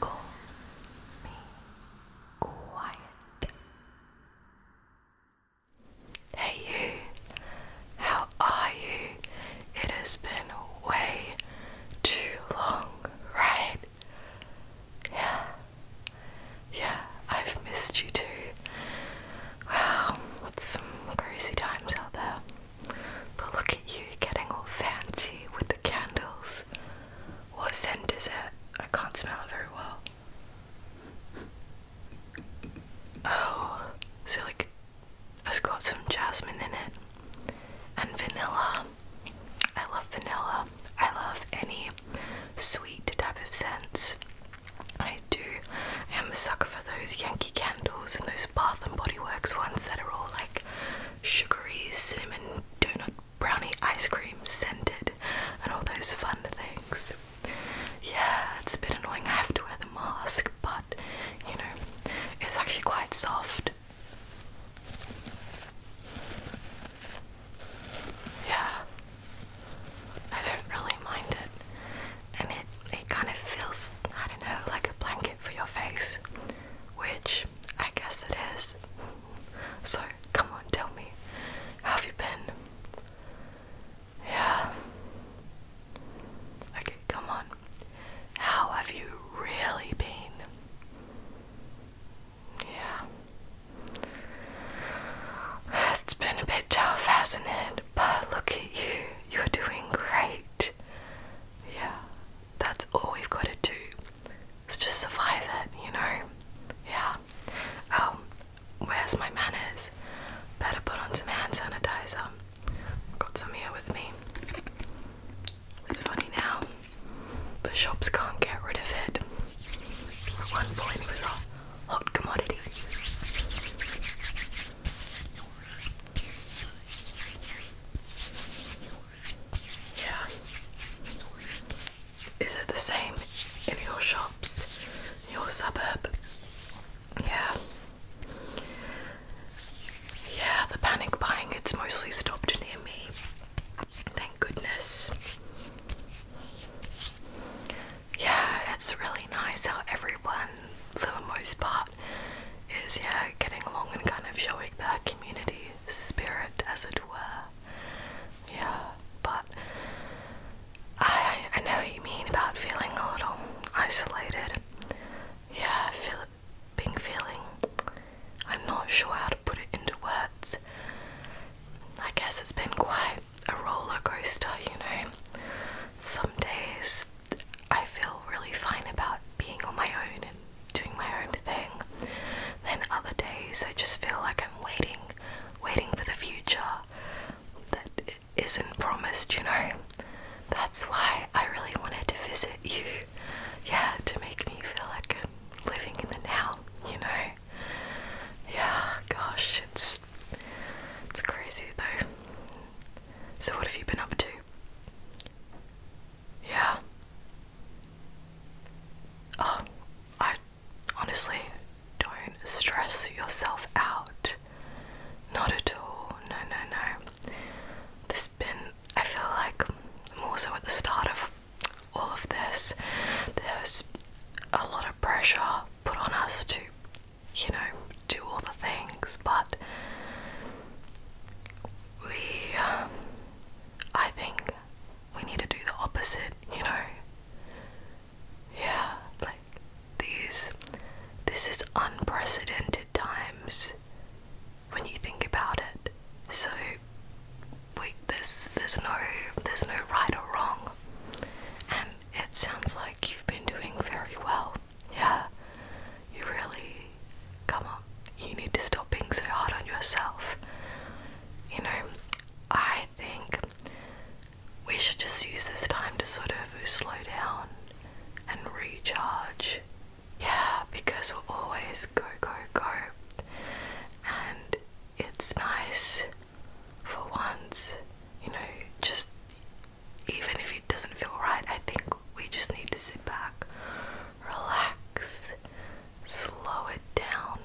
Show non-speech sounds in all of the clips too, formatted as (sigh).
Call me quiet. Hey you, how are you? It has been way too long, right? Yeah, yeah, I've missed you too. Wow, it's some crazy times out there. But look at you getting all fancy with the candles. What scent is it? I can't smell it very well. Oh, so like it's got some jasmine in it and vanilla. I love vanilla. I love any sweet type of scents. I do. I am a sucker for those Yankee candles and those Bath and Body Works ones that are all like sugary, cinnamon, donut, brownie, ice cream scented, and all those fun things. Yeah, it's a bit annoying. I have to wear the mask, but you know, it's actually quite soft. Yeah, I don't really mind it, and it it kind of feels I don't know like a blanket for your face, which I guess it is. (laughs) So come on, tell me, how have you been? Yeah. Okay, come on. How have you really been? Yeah. It's been a bit tough, hasn't it? But look at you. You're doing great. Yeah, that's all we've got to do. Is just survive it, you know. Yeah. Um, where's my manners? Better put on some hand sanitizer. Got some here with me. It's funny now. The shops can't get rid of it. At one point, it was hot commodity. Yeah. Is it the same in your shops, your suburb? Yeah. Yeah, the panic buying, it's mostly stopped near me. Thank goodness. Yeah, it's really nice how everyone, for the most part, is yeah, getting along and kind of showing that community spirit, as it were. Yeah, but I I know what you mean about feeling a little isolated. Yeah, feeling, being feeling. I'm not sure how to put it into words. I guess it's been quite a roller coaster, you know. Some days I feel really fine about being on my own and doing my own thing. Then other days I just feel like I'm waiting, waiting for the future that isn't promised, you know. That's why I really wanted to visit you. Yeah, to make me feel like I'm living in the now, you know. Yeah, gosh, it's it's crazy though. So, what have you been up to? Yeah. Oh, I honestly don't stress yourself out. Not at all. No, no, no. There's been, I feel like, more so at the start of all of this, there's a lot of pressure put on us to you know, do all the things, but we, I think we need to do the opposite, you know? Yeah, like these, this is unprecedented times when you think about it. So, we, there's, there's no, there's no right or wrong. And it sounds like you've been doing very well. Yeah, you really come on. You need to stop being so hard on yourself. You know, I think we should just use this time to sort of slow down and recharge. Yeah, because we're always go, go, go. And it's nice for once, you know, just even if it doesn't feel right, I think we just need to sit back, relax, slow it down,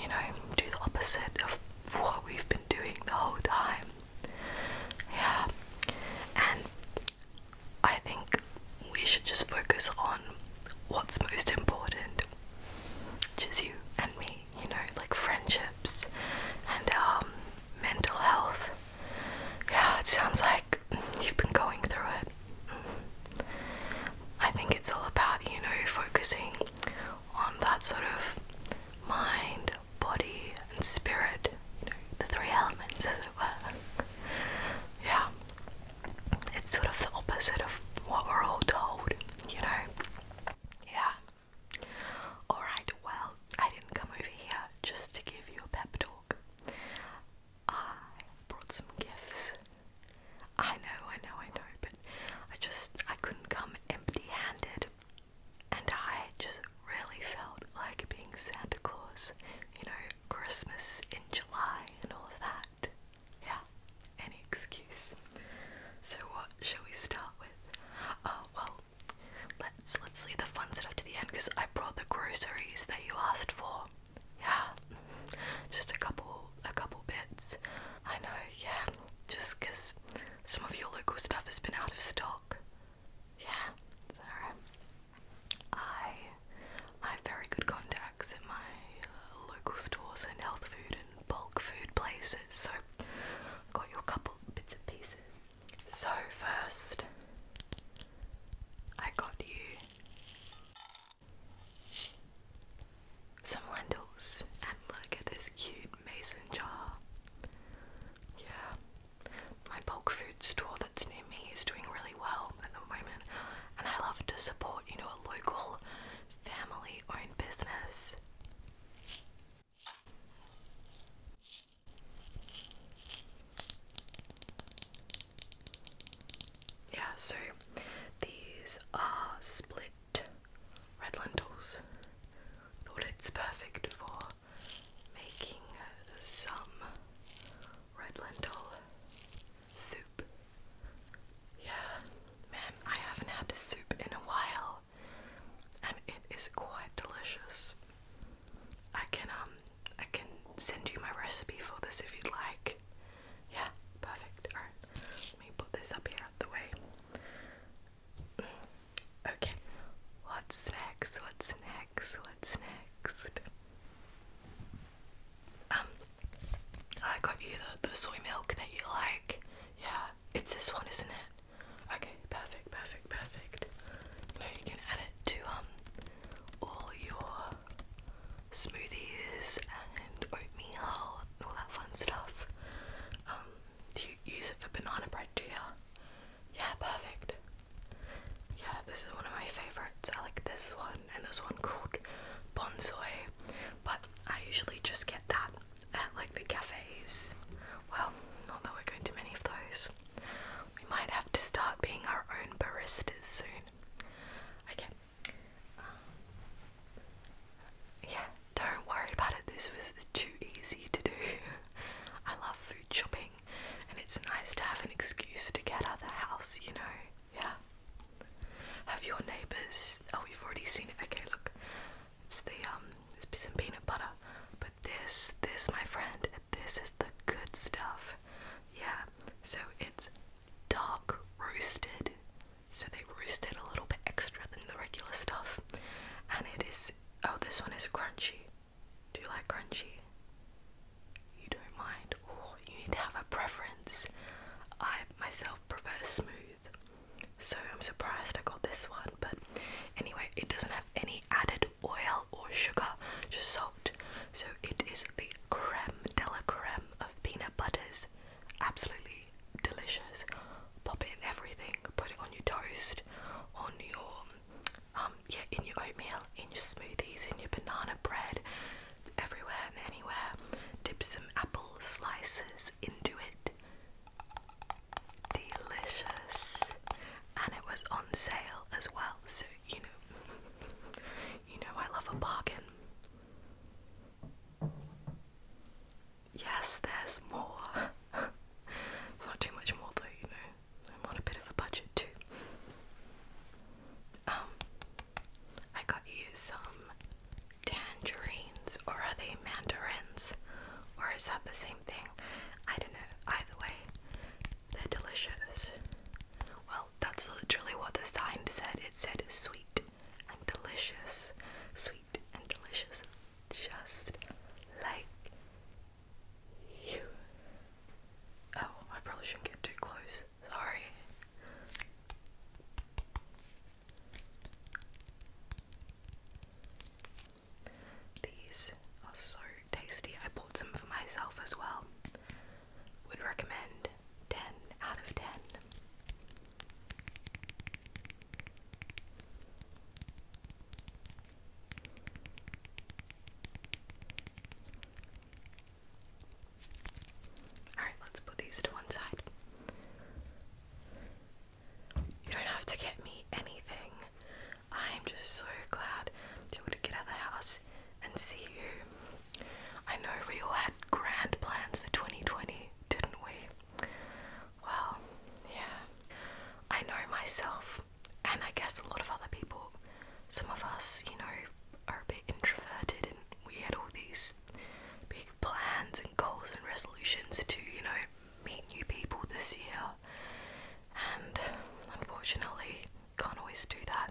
you know, do the opposite of what we've been doing the whole time. Yeah, and I think we should just focus on what's most important, which is you and me you know, like friendships and um, mental health. Yeah, it sounds like you've been going through it. I think it's all about, you know, focusing on that sort of mind, body, and spirit, you know, the three elements, as it were. Yeah, it's sort of the opposite of what we're all told, you know. Yeah. Alright, well, I didn't come over here just to give you a pep I brought some gifts. I know, I know, I know, but I just I couldn't come empty handed and I just really felt like being Santa Claus, you know, Christmas in July and all of that. Yeah, any excuse. So what shall we start with? Oh well Let's let's leave the fun stuff to the end because I brought the groceries that you asked for. Yeah, just a couple a couple bits. I know. Yeah, just because some of your local stuff has been out of stock. Yeah, alright. I I have very good contacts at my uh, local stores and health food and bulk food places, so Got you couple bits and pieces. So, first, I got you some lentils, and look at this cute mason jar. Yeah, my bulk food store that's near me is doing really well at the moment, and I love to support, you know, a local family owned business. Yeah, so these are split red lentils. Thought it's perfect for making some red lentil soup. Yeah, man, I haven't had soup in a while and it is quite delicious. I can um I can send you my recipe for this if you'd like. Yeah, perfect. Alright, let me put this up here out the way. Okay, what's next? What's next? What's next? Um, I got you the, the soy milk that you like. Yeah, it's this one, isn't it? Okay, perfect, perfect, perfect. You you can add it to um all your smoothies and oatmeal all that fun stuff. Um, you use it for banana bread, do Yeah, perfect. Yeah, this is one of my favorites. I like this one and this one called bonsai, but I usually just get that at like the cafes. Well, not that we're going to many of those. We might have to start being our own baristas soon. Okay. Um, yeah, don't worry about it. This was too easy to do. (laughs) I love food shopping, and it's nice to have an excuse to get out of the house, you know? Yeah. Have your neighbours. Oh, you've already seen it. Okay, look. It's the um, it's some peanut butter. But this, this, my friend, this is the good stuff. Yeah. So it's dark roasted. So they roasted a little bit extra than the regular stuff. And it is. Oh, this one is crunchy. Do you like crunchy? You don't mind. or oh, you need to have a preference. I myself prefer smooth. So I'm surprised I got this one, but anyway, it doesn't have any added oil or sugar, just salt. So it is the creme de la creme of peanut butters. Absolutely delicious. Pop it in everything, put it on your toast, on your um, yeah, in your oatmeal, in your smoothies, in your banana bread, everywhere and anywhere. Dip some apple slices into it delicious and it was on sale as well so you know (laughs) you know I love a bargain yes there's more (laughs) not too much more though you know I'm on a bit of a budget too um I got you some tangerines or are they mandarins? Or is that the same thing? I don't know. Either way, they're delicious. Well, that's literally what the sign said. It said sweet and delicious. Sweet and delicious. Just like you. Oh, I probably shouldn't get too close. Sorry. These are so tasty. I bought some for myself as well. Would recommend 10 out of 10. Alright, let's put these to one side. You don't have to get me anything. I'm just so glad to be able to get out of the house and see you. I know we all had grand plans for 2020, didn't we? Well, yeah. I know myself, and I guess a lot of other people. Some of us, you know, are a bit introverted and we had all these big plans and goals and resolutions to, you know, meet new people this year, and unfortunately, can't always do that.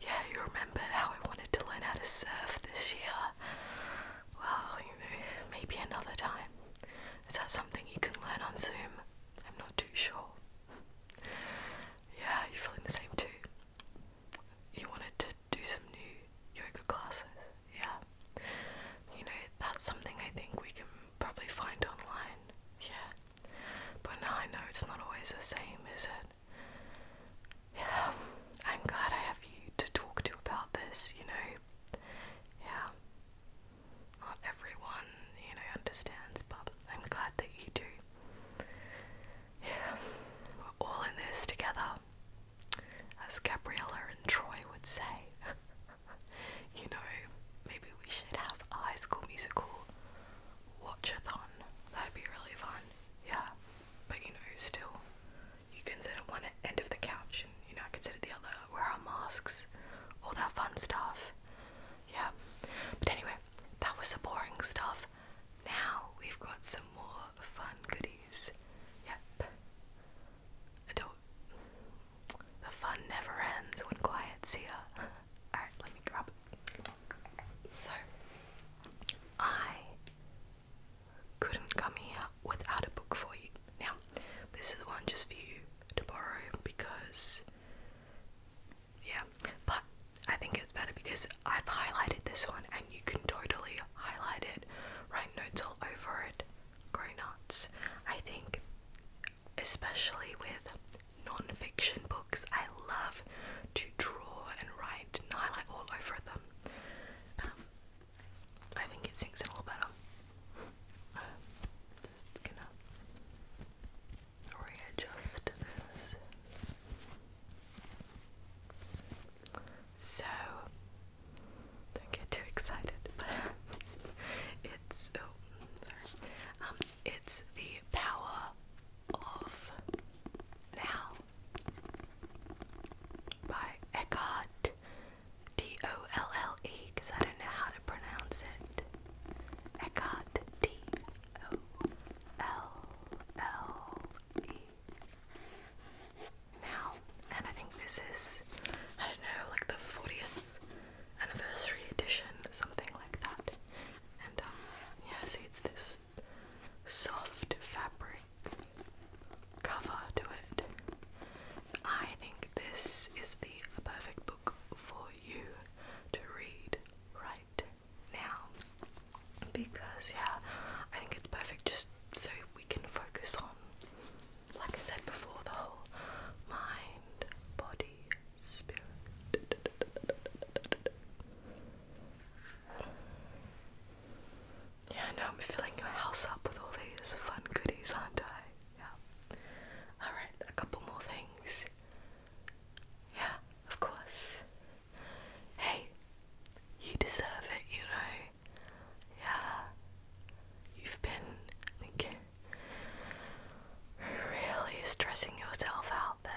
Yeah, you remember how I wanted to learn how to surf this year. Well, maybe another time. Is that something you can learn on Zoom? I'm not too sure. Yeah, you're feeling the same too. You wanted to do some new yoga classes. Yeah. You know, that's something I think we can probably find online. Yeah. But now I know it's not always the same, is it? Yeah. I'm glad I have you to talk to about this, you know. Yeah. Not everyone, you know, understands, but I'm glad that you do. Yeah. We're all in this together as Gabriella and Troy would say. (laughs) you know, maybe we should have a high school musical watchathon. That'd be really fun. Yeah. But you know, still you can sit at one end of the couch and you know, I can sit at the other, wear our masks, all that fun stuff. Yeah. But anyway, that was the boring stuff. Now we've got some more fun goodies. Yep. I The fun never ends when quiet's (laughs) here. Alright, let me grab it. So, I couldn't come here without a book for you. Now, this is the one just for you to borrow because. Yeah, but I think it's better because I've highlighted this one and you can totally highlight it, write notes all over it, go nuts. I think, especially with non fiction books, I love to draw and write highlight all over them. Um, I think it sinks in a little better. just gonna readjust this. So don't get too excited. (laughs) it's oh, um, it's the power of now by Eckhart D O L L E because I don't know how to pronounce it. Eckhart D O L L now, and I think this is, I don't know, like the 40th anniversary edition, something like that. And um, yeah, see, it's this soft fabric cover to it. I think this is the perfect book for you to read right now because yeah, I think it's perfect just so we can focus on like I said before the whole mind, body, spirit. Yeah, I know I'm filling your house up with all these fun goodies, aren't I? Yeah. Alright, a couple more things. Yeah, of course. Hey, you deserve it, you know. Yeah, you've been like, really stressing yourself out there.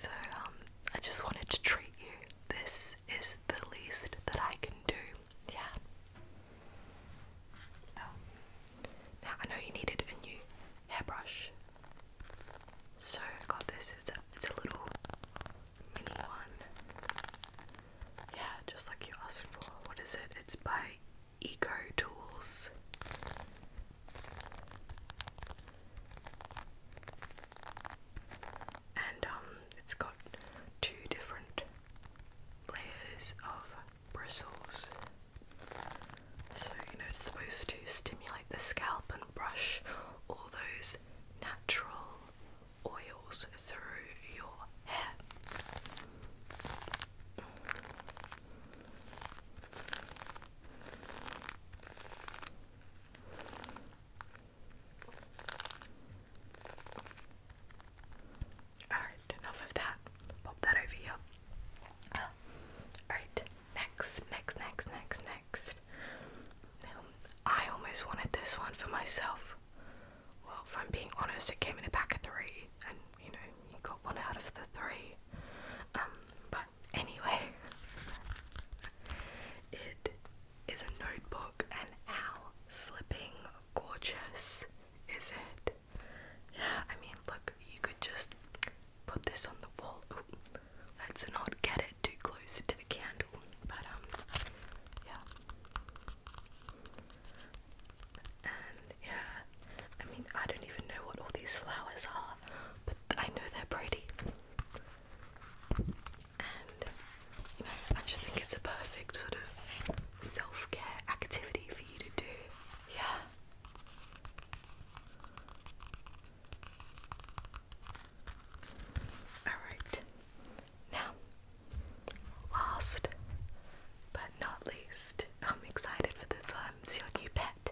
So um, I just wanted to treat you. This is the least that I can do. Yeah. Oh. Now I know you needed a new hairbrush, so I got this. It's it's a little mini one. Yeah, just like you asked for. What is it? It's by Eco Tools. And um it's got two different layers of bristles. So, you know, it's supposed to stimulate the scalp brush all those natural oils through your hair. Alright, enough of that. Pop that over Alright, Next, next, next, next, next. I almost wanted this one for myself. Well, if I'm being honest, it came in a pack of three, and you know, you got one out of the three. Um, but anyway, (laughs) it is a notebook, and how flipping gorgeous is it? Yeah, I mean, look, you could just put this on the wall. Let's not get it too close to the candle, but um, yeah. And yeah, I mean, I don't even know what all these flowers are, but I know they're pretty. And you know, I just think it's a perfect sort of self care activity for you to do. Yeah. Alright, now, last but not least, I'm excited for this one. It's your new pet.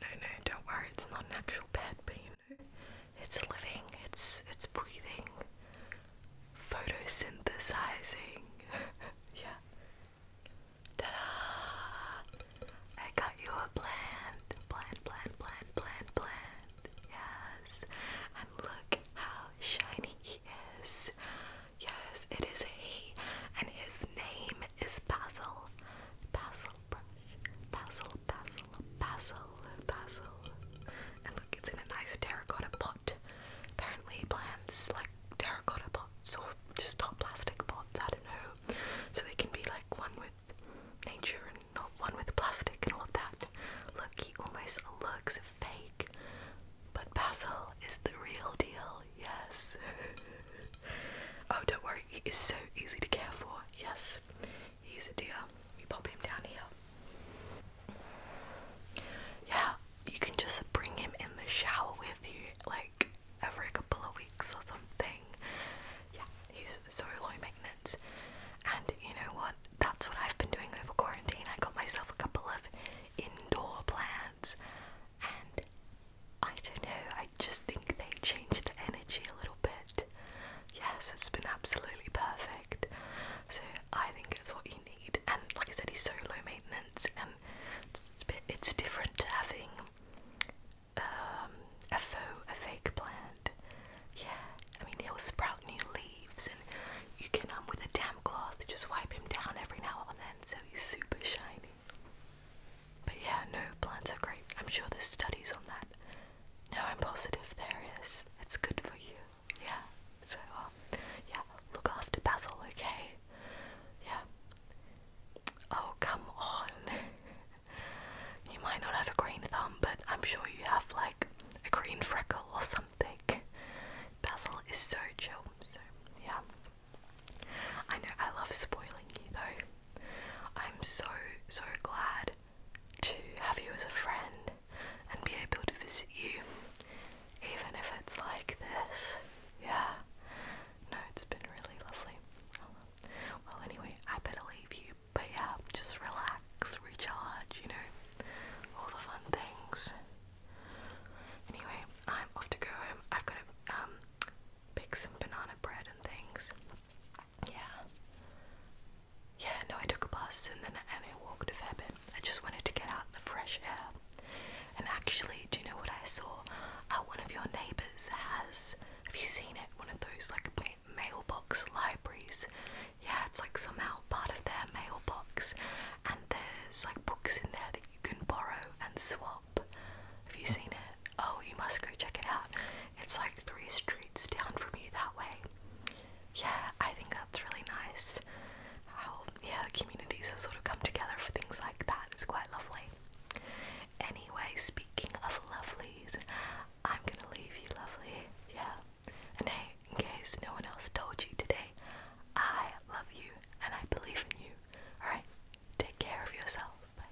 No, no, don't worry, it's not an actual pet, but you know, it's living, it's, it's breathing, photosynthesizing. (laughs) yeah. Ta-da! I got you a plant. Plant, plant, plant, plant, plant. Yes. And look how shiny he is. Yes, it is he. And his name is Basil. Basil brush. Basil, basil, basil, basil. And look, it's in a nice terracotta pot. Apparently, plants like terracotta pots or just not plastic pots, I don't know. So they can be like one with nature and not one with plastic and all that. Look, he almost looks fake, but Basil is the real deal, yes. (laughs) oh, don't worry, he is so easy to care for, yes. He's a dear. We pop him down here. Yeah, you can just bring him in the shower with you, like every couple of weeks or something yeah, he's so low maintenance. And you know what? That's what I've been doing over quarantine. I got myself a couple of indoor plants, and I don't know, I just think they change the energy a little bit. Yes, it's been absolutely perfect. So I think it's what you need. And like I said, he's so low maintenance, and it's, a bit, it's different to having um, a faux, a fake plant. Yeah, I mean it will sprout new leaves, and you can um with a damp cloth just wipe him down every now and then, so he's super shiny. But yeah, no, plants are great. I'm sure there's studies on that. No, I'm positive there is. It's good for you. Yeah. So, um, yeah, look after Basil, okay? Yeah. Oh, come on. (laughs) you might not have a green thumb, but I'm sure you have like a green freckle or something. Basil is so chill, so yeah. I know I love spoiling you though. I'm so, so glad to have you as a friend and be able to visit you, even if it's like this. Yeah. No, it's been really lovely. Well, anyway, I better leave you, but yeah, just relax, recharge, you know, all the fun things. Anyway, I'm off to go home. I've got to um, pick some banana bread and things. Yeah. Yeah, no, I took a bus and then and I walked a bit. I just wanted to get out in the fresh air. And actually, do you know what I saw? Uh, one of your neighbours has have you seen it? One of those like mailbox libraries. Yeah, it's like somehow part of their mailbox, and there's like books in there that you can borrow and swap. Have you seen it? Oh, you must go check it out. It's like three streets down from you that way. Yeah, I think that's really nice. How, yeah, communities have sort of come together for things like that. It's quite lovely. Anyway, speaking of lovelies, I'm gonna leave you lovely. Yeah. And hey, in case no one else told you today, I love you and I believe in you. Alright? Take care of yourself. Bye.